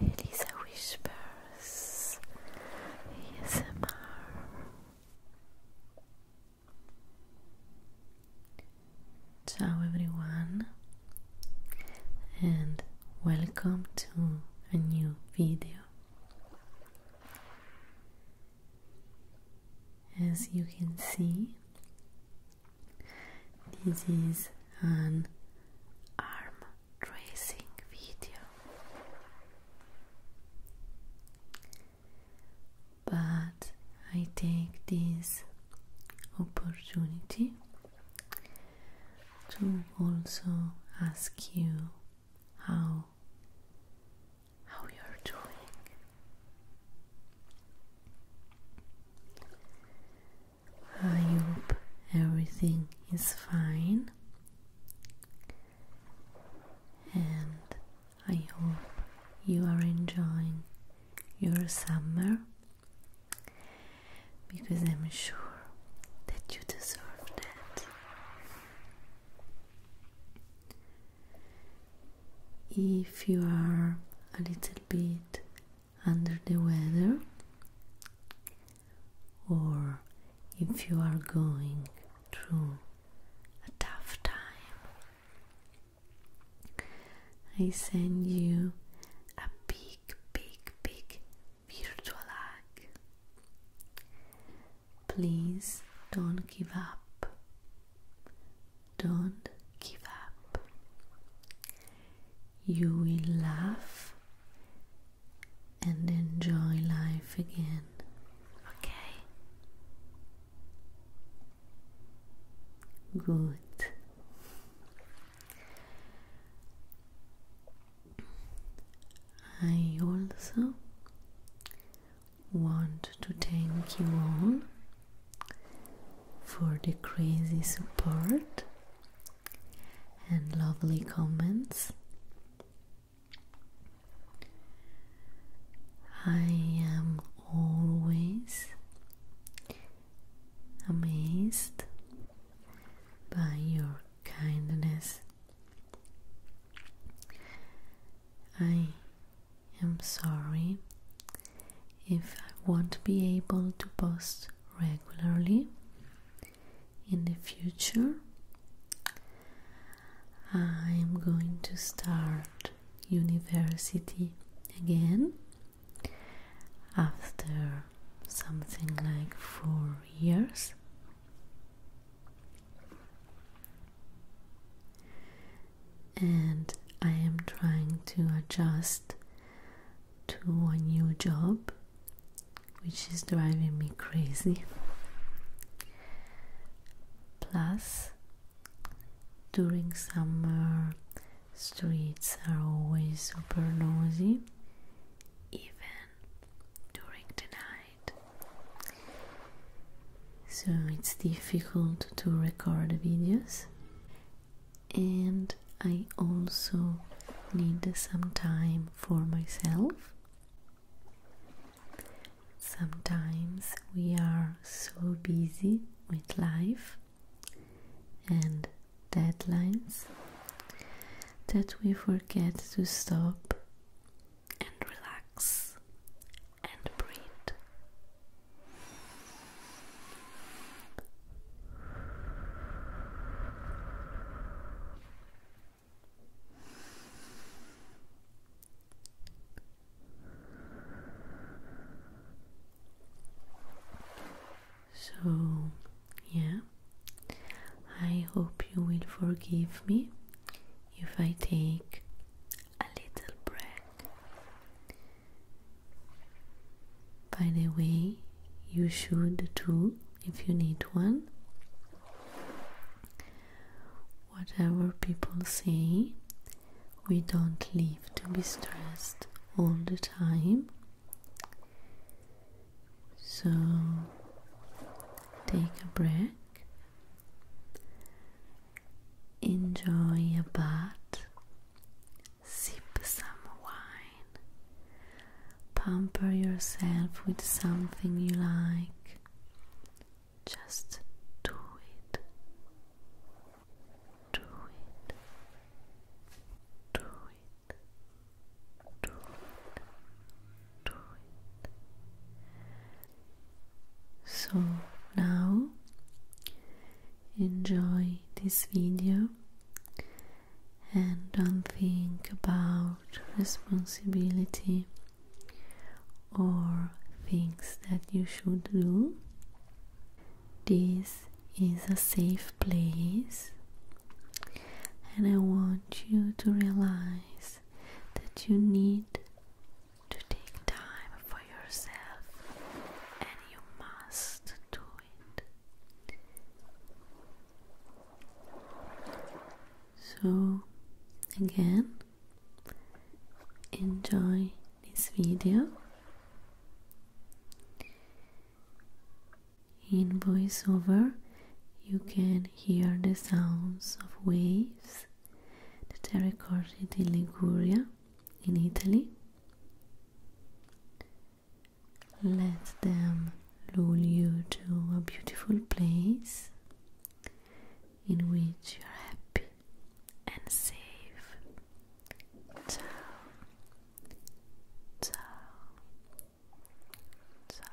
Elisa Whispers ASMR Ciao everyone and welcome to a new video. As you can see, this is an arm tracing video. But I take this opportunity to also ask you how how you're doing. I hope everything is fine, and I hope you are enjoying your summer because I'm sure that you deserve that. If you are a little bit under the weather or if you are going through a tough time, I send you a big, big, big virtual hug. Please don't give up. Don't give up you will laugh and enjoy life again. Okay? Good. I also want to thank you all for the crazy support and lovely comments. I am always amazed by your kindness. I am sorry if I won't be able to post regularly in the future. I'm going to start university again after something like four years. And I am trying to adjust to a new job, which is driving me crazy. Plus, during summer, streets are always super noisy, even during the night. So, it's difficult to record videos and I also need some time for myself. Sometimes we are so busy with life and deadlines that we forget to stop and relax and breathe. So, yeah, I hope you will forgive me if I take a little break by the way, you should too if you need one. Whatever people say, we don't live to be stressed all the time. So take a break, enjoy a bath, sip some wine, pamper yourself with something you like. Just do it. Do it. Do it. Do it. Do it. So now enjoy this video and don't think about responsibility or things that you should do. This is a safe place, and I want you to realize that you need to take time for yourself and you must do so, again, enjoy this video in voiceover you can hear the sounds of waves that are recorded in Liguria in Italy let them lure you to a beautiful place in which you're happy and safe. Ciao, ciao, ciao.